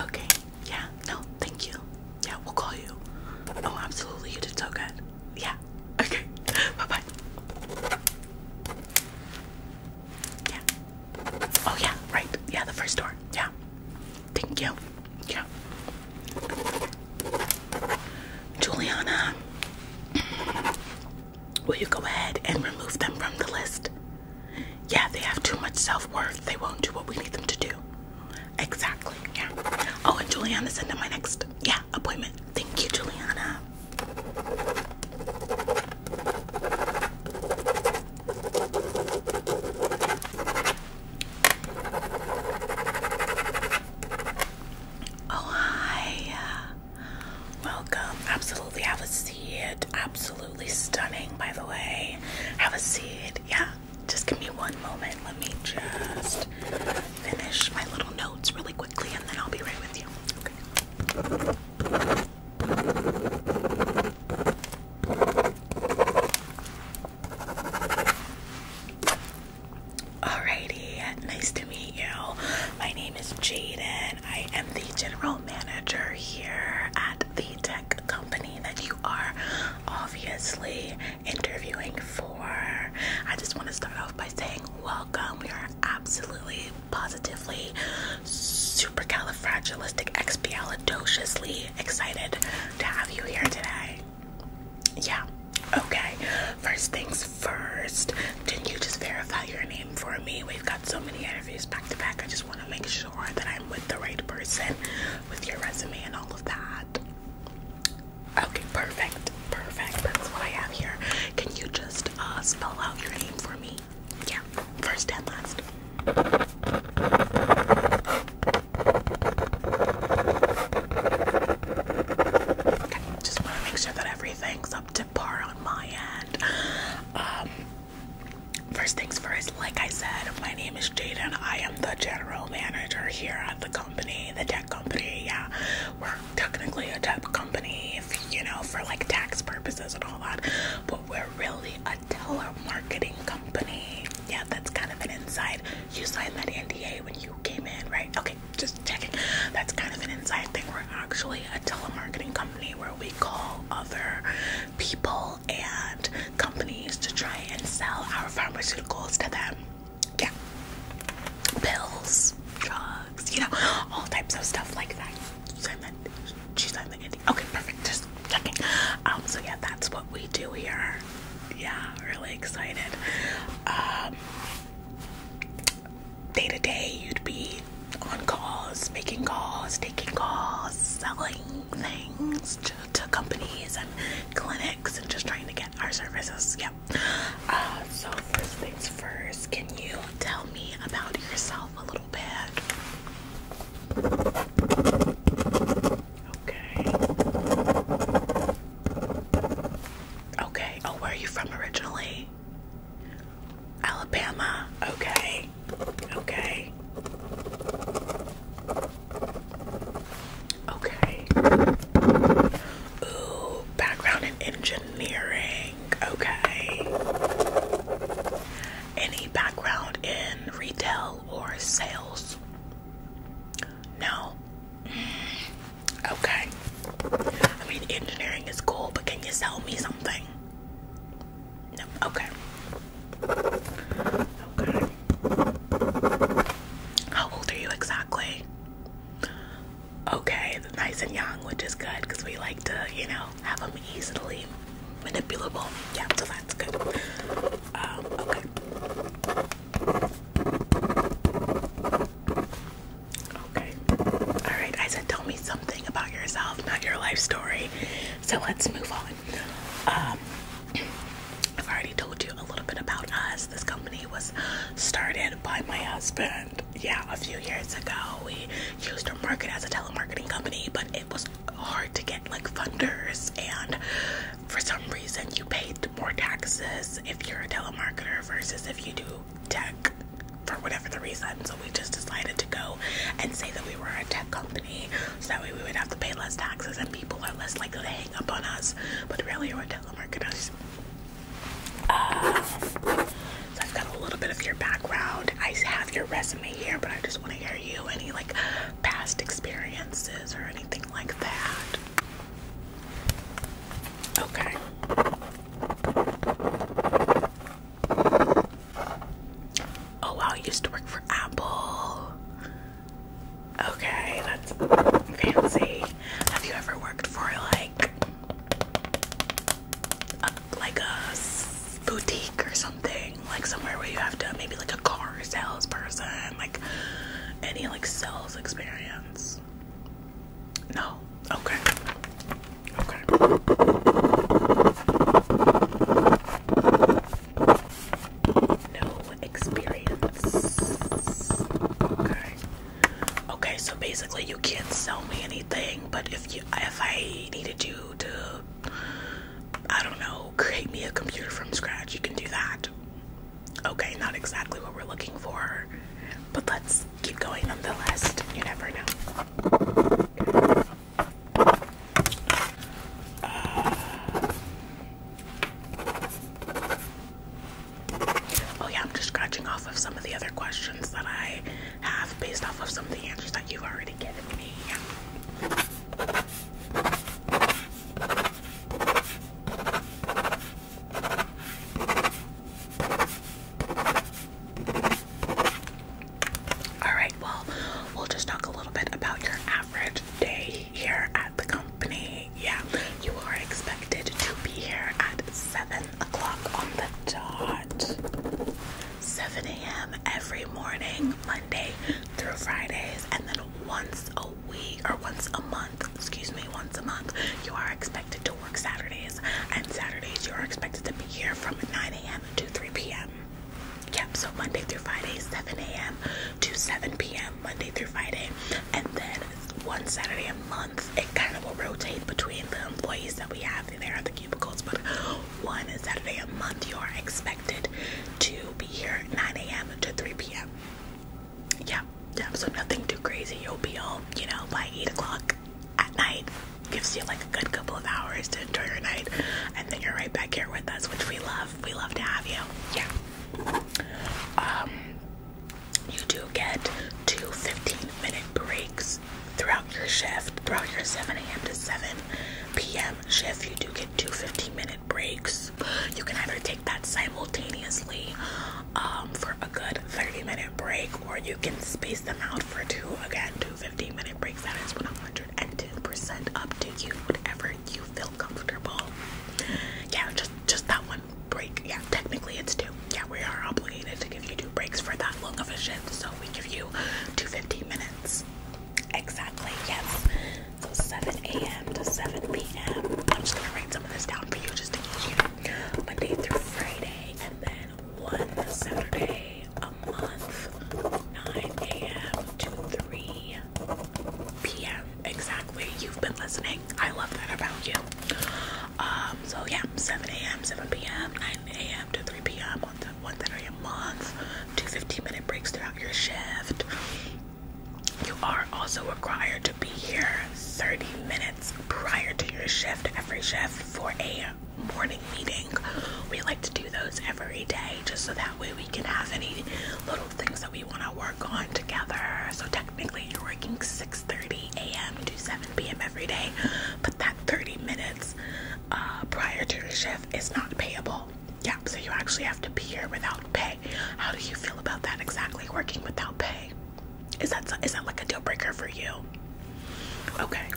Okay, yeah, no, thank you. Yeah, we'll call you. Oh, absolutely, you did so good. Yeah, okay, bye bye. Yeah. Oh, yeah, right. Yeah, the first door. Yeah. Thank you. Yeah. Juliana. Will you go ahead and remove them from the list? Yeah, they have too much self worth. They won't do what we need them to do. Exactly. Yeah. Oh, and Juliana, send into my next yeah appointment. Thank you, Juliana. Oh hi. Welcome. Absolutely have a seat. Absolutely stunning, by the way. Have a seat. Yeah. Just give me one moment. Let me just finish my little notes really quickly and then I'll be right with you. Okay. Alrighty, nice to meet you. My name is Jaden. I am the general manager here at the tech company that you are obviously interviewing for. I just want to start off by saying welcome. We are absolutely, positively, supercalifragilisticexpialidociously excited to have you here today. Yeah. Okay. First things first. did didn't you just verify your name for me? We've got so many interviews back to back. I just want to make sure that I'm with the right person with your resume and all of that. Okay, perfect. Perfect. That's what I have here. Can you just uh, spell out your name for me? Yeah, first and last. Okay, just want to make sure that everything's up to par on my end. Um, first things first, like I said, my name is Jaden. I am the general manager here at the company, the tech company. Yeah, we're technically a tech company, you know, for like tax purposes and all that, but we're really a telemarketing company. Yeah, that's kind of an inside. You signed that NDA when you came in, right? Okay, just checking. That's kind of an inside thing. We're actually a telemarketing company where we call other people and companies to try and sell our pharmaceuticals to them. Yeah. Pills, drugs, you know, all types of stuff like that. Sign that. She signed Okay, perfect. Just checking. Um, so yeah, that's what we do here. Yeah, really excited. Um day to day, you'd be on calls, making calls, taking calls, selling things to, companies and clinics, and just trying to get our services. Yep. Uh, so first things first, can you tell me about yourself a little bit? Okay. Okay. Oh, where are you from originally? Alabama, okay, okay, okay. Ooh, background in engineering, okay. Any background in retail or sales? No. Mm. Okay. I mean, engineering is cool, but can you sell me something? No. Okay. Okay. How old are you exactly? Okay, nice and young, which is good because we like to, you know, have them easily manipulable. Yeah, so that's good. Um, okay. Okay. All right. I said, tell me something about yourself, not your life story. So let's move on. Um, I've already told you a little bit about us. This company was started by my husband. Yeah, a few years ago, we used to market as a telemarketing company, but it was hard to get like funders. And for some reason, you paid more taxes if you're a telemarketer versus if you do tech for whatever the reason. So we just decided to go and say that we were a tech company so that way we would have to pay less taxes and people are less likely to hang up on us. But really, we're telemarketers. Uh, so I've got a little bit of your background. I have your resume here, but I just want to hear you. Any like past experiences or anything like that? Okay. Oh wow, you used to work for Apple. Okay, that's fancy. Have you ever worked for like like a boutique or something? Like somewhere where you have to maybe like a car salesperson, like any like sales experience? this? No. Okay. Okay. No experience. Okay. Okay, so basically you can't sell me anything, but if you if I needed you to I don't know, create me a computer from scratch, you can do that. Okay, not exactly what we're looking for. But let's keep going on the list. You never know. Uh, oh yeah, I'm just scratching off of some of the other questions that I have based off of some of the answers that you've already given me. All right, well, we'll just talk a little bit about your average day here at the company. Yeah, you are expected to be here at 7 o'clock on the dot. 7 a.m. every morning, Monday through Fridays, and then once a week or once a month excuse me, once a month, you are expected to work Saturdays, and Saturdays you are expected to be here from 9 a.m. to 3 p.m. Yep, so Monday through Friday, 7 a.m. to 7 p.m. Monday through Friday, and then one Saturday a month, it kind of will rotate between the employees that we have in there at the cubicles, but one Saturday a month you are expected to be here 9 a.m. to 3 p.m yeah, yeah, so nothing too crazy. You'll be home, you know, by 8 o'clock at night. Gives you like a good couple of hours to enjoy your night, and then you're right back here with us, which we love. We love to have you. Yeah. Um, you do get two 15 minute breaks throughout your shift, throughout your 7 a.m. to 7 p.m. shift. You do get two 15 minute breaks. You can either take that simultaneously um, for a good 30 minute break, or you can space them out for two again, two 15 minute breaks. That is 110% up to you, whatever you feel comfortable. Yeah, just just that one break. Yeah, technically it's two. Yeah, we are obligated to give you two breaks for that long of a shift, so we give you two 15 minutes. Exactly, yes. So 7 a.m. to 7 p.m. I'm just gonna write some of this down for you just to keep you Monday through Friday, and then one Saturday a month, 9 a.m. to 3 p.m. Exactly. You've been listening. I love that about you. Um, so yeah, 7 a.m., 7 p.m., 9 a.m. to 3 p.m. on one Saturday a month, two 15 minute breaks throughout your shift. You are also required to be here 30 minutes prior to your shift every shift for a morning meeting. We like to do those every day just so that way we can have any little things that we want to work on together. So technically you're working 6:30 a.m. to 7 p.m. every day, but that 30 minutes uh, prior to your shift is not payable. Yeah, so you actually have to be here without pay. How do you feel about that exactly working without pay? Is that is that like a deal breaker for you? Okay.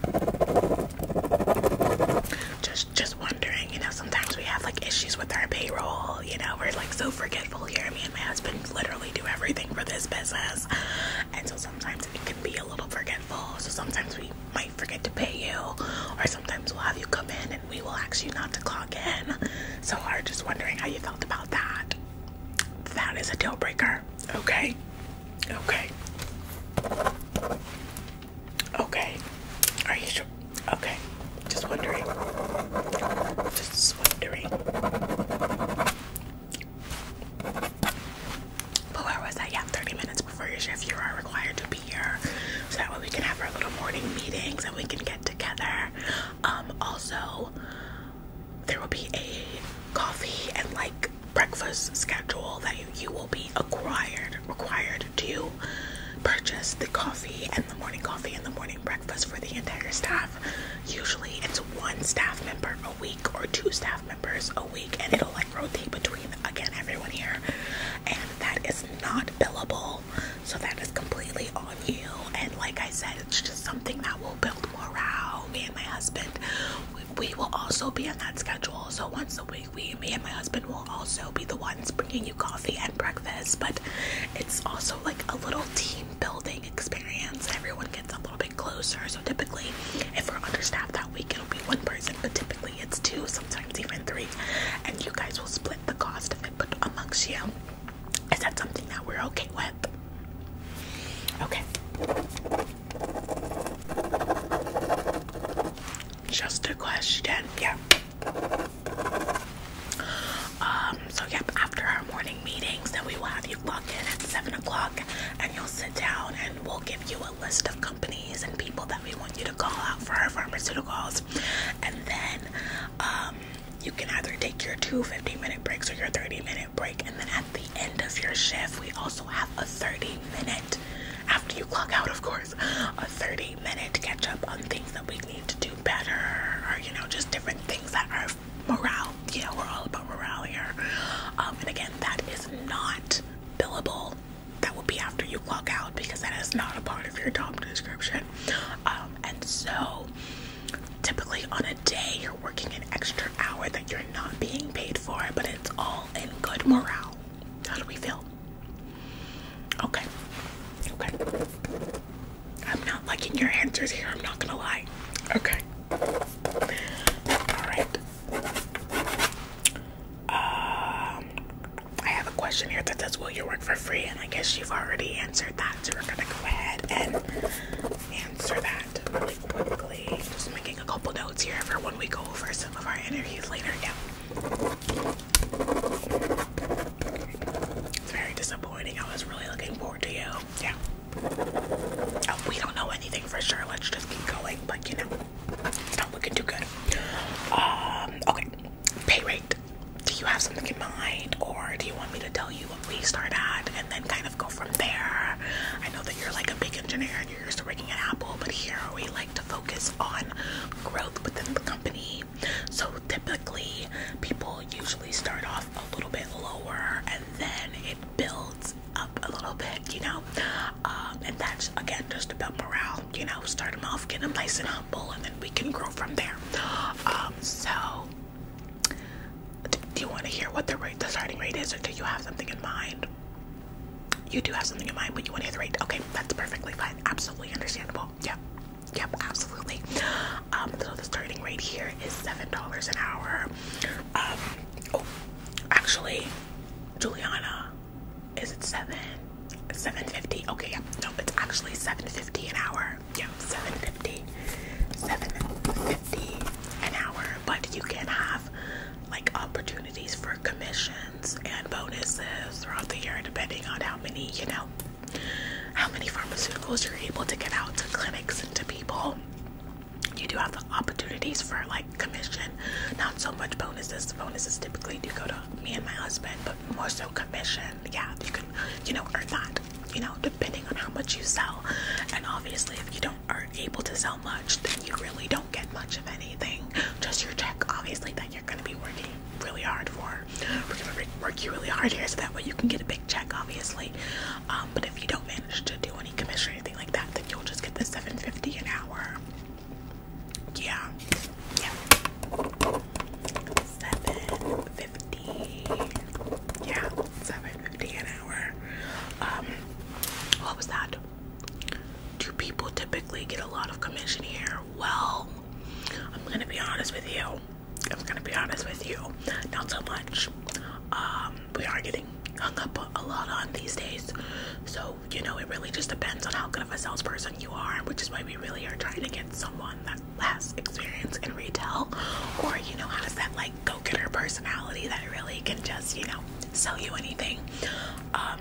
Just just wondering, you know, sometimes we have like issues with our payroll, you know, we're like so forgetful here. Me and my husband literally do everything for this business. And so sometimes it can be a little forgetful. So sometimes we might forget to pay you, or sometimes we'll have you come in and we will ask you not to clock in. So we're just wondering how you felt about that that is a deal breaker. Okay. Okay. Okay. Are you sure? Okay. Just wondering. Just wondering. But where was I? Yeah, 30 minutes before your shift, you are required to be here. So that way we can have our little morning meetings and we can get together. Um, also, there will be a coffee and like breakfast schedule that you, will be acquired required to purchase the coffee and the morning coffee and the morning breakfast for the entire staff. Usually it's one staff member a week or two staff members a week and it'll like rotate between again everyone here and that is not billable so that is completely on you and like I said it's just something that will build morale. Me and my husband, we, will also be on that schedule. So once a week, we, me and my husband will also be the ones bringing you coffee and breakfast. But it's also like a little team building experience. Everyone gets a little bit closer. So typically, if we're understaffed that week, it'll be one person, but typically it's two, sometimes even three. And you guys will split the cost of it, amongst you. Is that something that we're okay with? Okay. Just a question. Yeah. Um, so yep, after our morning meetings, then we will have you log in at seven o'clock and you'll sit down and we'll give you a list of companies and people that we want you to call out for our pharmaceuticals. And then um, you can either take your two 15 minute breaks or your 30 minute break. And then at the end of your shift, we also have a 30 minute, after you clock out, of course, a 30 minute catch up on things that we need to do better or, you know, just different things that are morale. You know, we're all about morale here. Um, and again, that is not billable. That will be after you clock out because that is not a part of your job description. Um, and so typically on a day you're working an extra hour that you're not being paid for, but it's all in good morale. How do we feel? Okay. Okay. I'm not liking your answers here, I'm not gonna lie. Okay. Alright. Um I have a question here that says, Will you for free, and I guess you've already answered that, so we're gonna go ahead and answer that really quickly. Just making a couple notes here for when we go over some of our interviews later. Yeah. It's very disappointing. I was really looking forward to you. Yeah. Oh, we don't know anything for sure. Let's just keep going, but you know, it's not looking too good. Um, okay pay rate. Do you have something in mind, or do you want me to tell you what we start at and then kind of go from there? I know that you're like a big engineer and you're used to working at Apple, but here we like to focus on growth within the company. So typically, people usually start off a little bit lower and then it builds up a little bit, you know. Um, and that's again just about morale, you know. Start them off, get them nice and humble, and then we can grow from there. Um, so do, you want to hear what the starting rate is, or do you have something in mind? You do have something in mind, but you want to hear the rate. Okay, that's perfectly fine. Absolutely understandable. Yep, yep, absolutely. Um, so the starting rate here is seven dollars an hour. Um, oh, actually, Juliana, is it seven? Seven fifty. Okay, yeah. No, it's actually seven fifty an hour. Yeah, seven fifty. an hour. But you can have like opportunities for commissions and bonuses throughout the year depending on how many, you know, how many pharmaceuticals you're able to get out to clinics and to people. You do have the opportunities for like commission, not so much bonuses. Bonuses typically do go to me and my husband, but more so commission. Yeah, you can, you know, earn that you know, depending on how much you sell. And obviously, if you don't are able to sell much, then you really don't get much of anything. Just your check, obviously, that you're gonna be working really hard for. We're gonna work you really hard here so that way you can get a big check, obviously. Um, but if you don't manage to do any commission or anything like that, then you'll just get the 750 an hour. Yeah. Yeah seven fifty. Yeah, seven fifty an hour. Um, what was that? Do people typically get a lot of commission here? Well, I'm gonna be honest with you. I'm gonna be honest with you. Not so much. Um, we are getting hung up a lot on these days. So, you know, it really just depends on how good of a salesperson you are, which is why we really are trying to get someone that has experience in retail or, you know, how does that like go getter personality that really can just, you know, sell you anything. Um,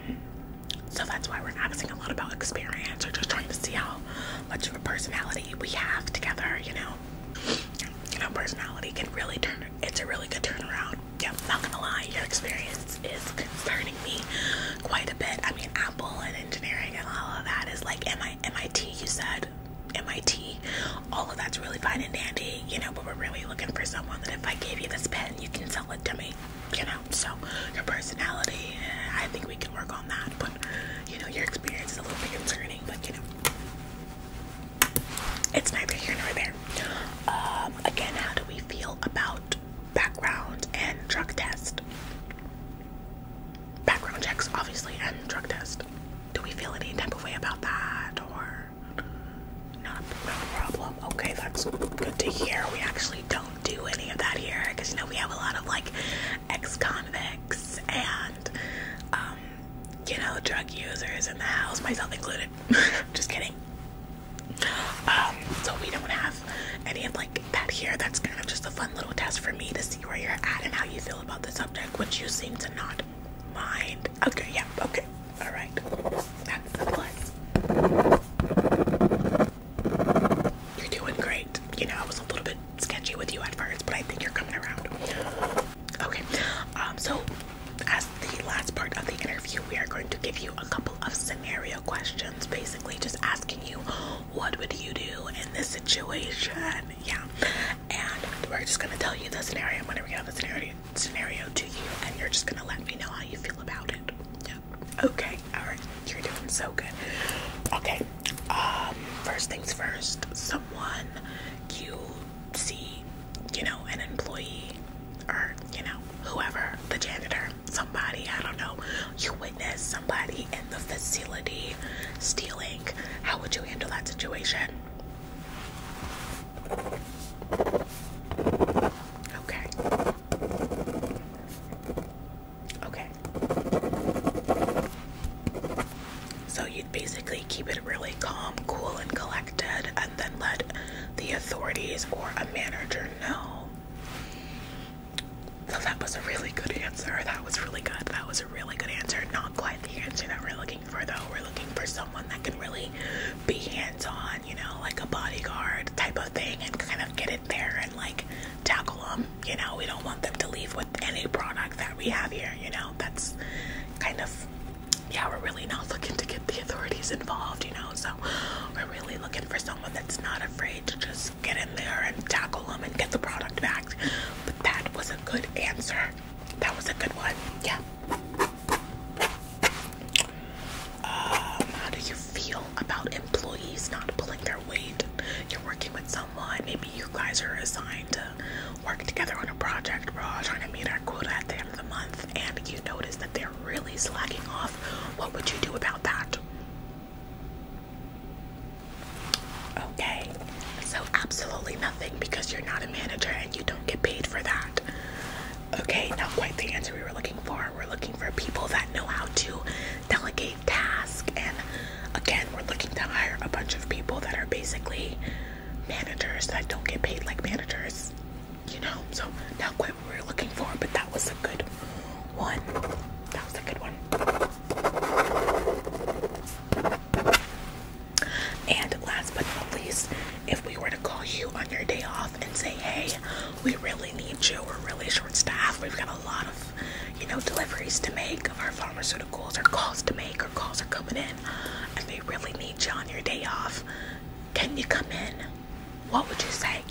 so that's why we're asking a lot about experience or just trying to see how much of a personality we have together, you know. You know, personality can really turn, it's a really good turnaround. Yeah, not gonna lie, your experience is concerning me quite a bit. I mean, I and engineering and all of that is like MIT, you said MIT. All of that's really fine and dandy, you know, but we're really looking for someone that if I gave you this pen, you can sell it to me, you know. So your personality, eh, I think we can work on that, but you know, your experience is a little bit concerning, but you know. It's neither here nor there. Um, again, how do we feel about background and drug test? background checks, obviously, and drug test. Do we feel any type of way about that, or not, not a problem? Okay, that's good to hear. We actually don't do any of that here, because you know we have a lot of like ex-convicts and um, you know drug users in the house, myself included. Just kidding. Um, so we don't have any of that here, that's kind of just a fun little test for me to see where you're at and how you feel about the subject, which you seem to not mind. Okay, yeah, okay, all right. That's a plus. You're doing great. You know, I was a little bit sketchy with you at first, but I think you're coming around. Okay, um, so as the last part of the interview, we are going to give you a couple of scenario questions, basically just asking you what would you do in this situation? Yeah. And we're just gonna tell you the scenario. I'm gonna read out the scenario scenario to you and you're just gonna let me know how you feel about it. Yeah. Okay, alright, you're doing so good. Okay. Um, first things first, someone you see, you know, an employee or, you know, whoever, the janitor somebody, I don't know, you witness somebody in the facility stealing, how would you handle that situation? Okay. Okay. So you'd basically keep it really calm, cool, and collected, and then let the authorities or a manager know. So that was a really good answer. That was really good. That was a really good answer. Not quite the answer that we're looking for, though. We're looking for someone that can really be hands on, you know, like a bodyguard type of thing and kind of get it there and like tackle them. You know, we don't want them to leave with any product that we have here, you know. That's kind of, yeah, we're really not looking to get the authorities involved, you know. So we're really looking for someone that's not afraid to just get in there and tackle them and get the product back. But that was a good answer. That was a good one. Yeah. Um, how do you feel about employees not pulling their weight? You're working with someone, maybe you guys are assigned to work together on a project. We're all trying to meet our quota at the end of the month, and you notice that they're really slacking off. What would you do about that? Okay, so absolutely nothing because you're not a manager and you don't get paid for that. Okay, not quite the answer we were looking for. We're looking for people that know how to delegate tasks, and again, we're looking to hire a bunch of people that are basically managers that don't get paid like managers, you know. So, not quite we are looking for, but that was a good one. That was a good one. And last but not least, if we were to call you on your day off and say, hey, we really need you, we're really short staffed, we've got a lot of, you know, deliveries to make of our pharmaceuticals or calls to make Our calls are coming in, and they really need you on your day off, can you come in? What would you say?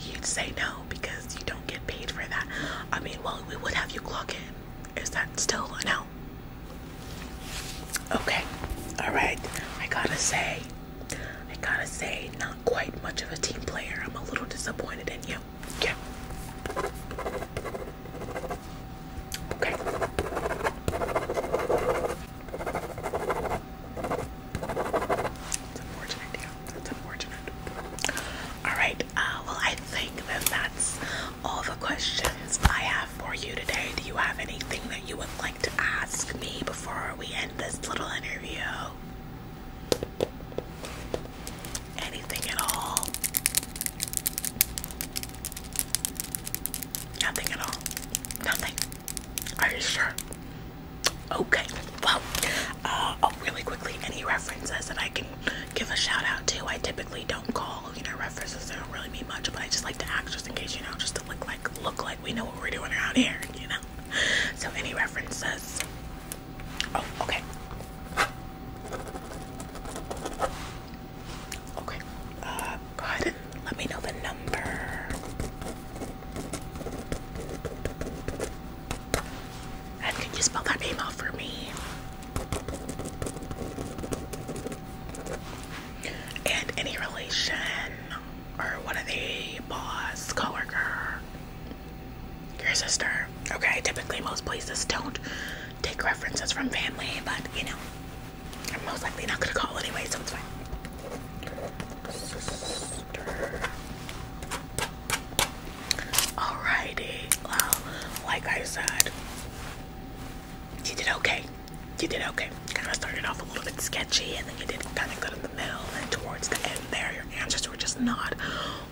you'd say no because you don't get paid for that. I mean, well, we would have you clock in. Is that still a no? Okay, all right. I gotta say, I gotta say, not quite much of a team player. I'm a little disappointed in you. Yeah. Okay. Alright, uh, well, I think that that's all the questions I have for you today. Do you have anything that you would like to ask me before we end this little interview? Anything at all? Nothing at all. Nothing. Are you sure? Okay. Well, uh, oh, really quickly, any references that I can give a shout out to? I typically don't call, you know, references. They don't really mean much, but I just like to act just in case, you know, just to look like look like we know what we're doing around here, you know. So any references? Oh, okay. Okay. Uh, go ahead and let me know the number. And can you spell that name out for me? And any relation? Or what are they? Boss, coworker, your sister? Okay, typically most places don't take references from family, but you know, I'm most likely not gonna call anyway, so it's fine. Alrighty. Well, like I said, you did okay. You did okay. Kind of started off a little bit sketchy, and then you did kind of good in the middle, and towards the end there, your answers were just not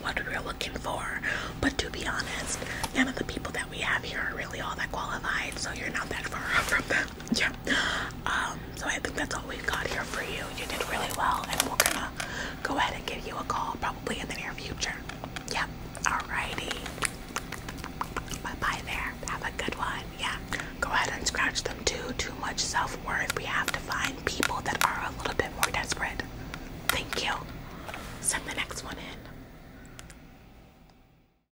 what we were looking for. But to be honest, none of the people that we have here are really all that qualified, so you're not that far off from them yeah. Um, so I think that's all we've got here for you. You did really well, and we're gonna go ahead and give you a call probably in the near future. Yep. Alrighty. Bye bye there. Have a good one. Yeah. Go ahead and scratch them too. Too much self worth. We have to find people that are a little bit more desperate. Thank you. Send the next one in.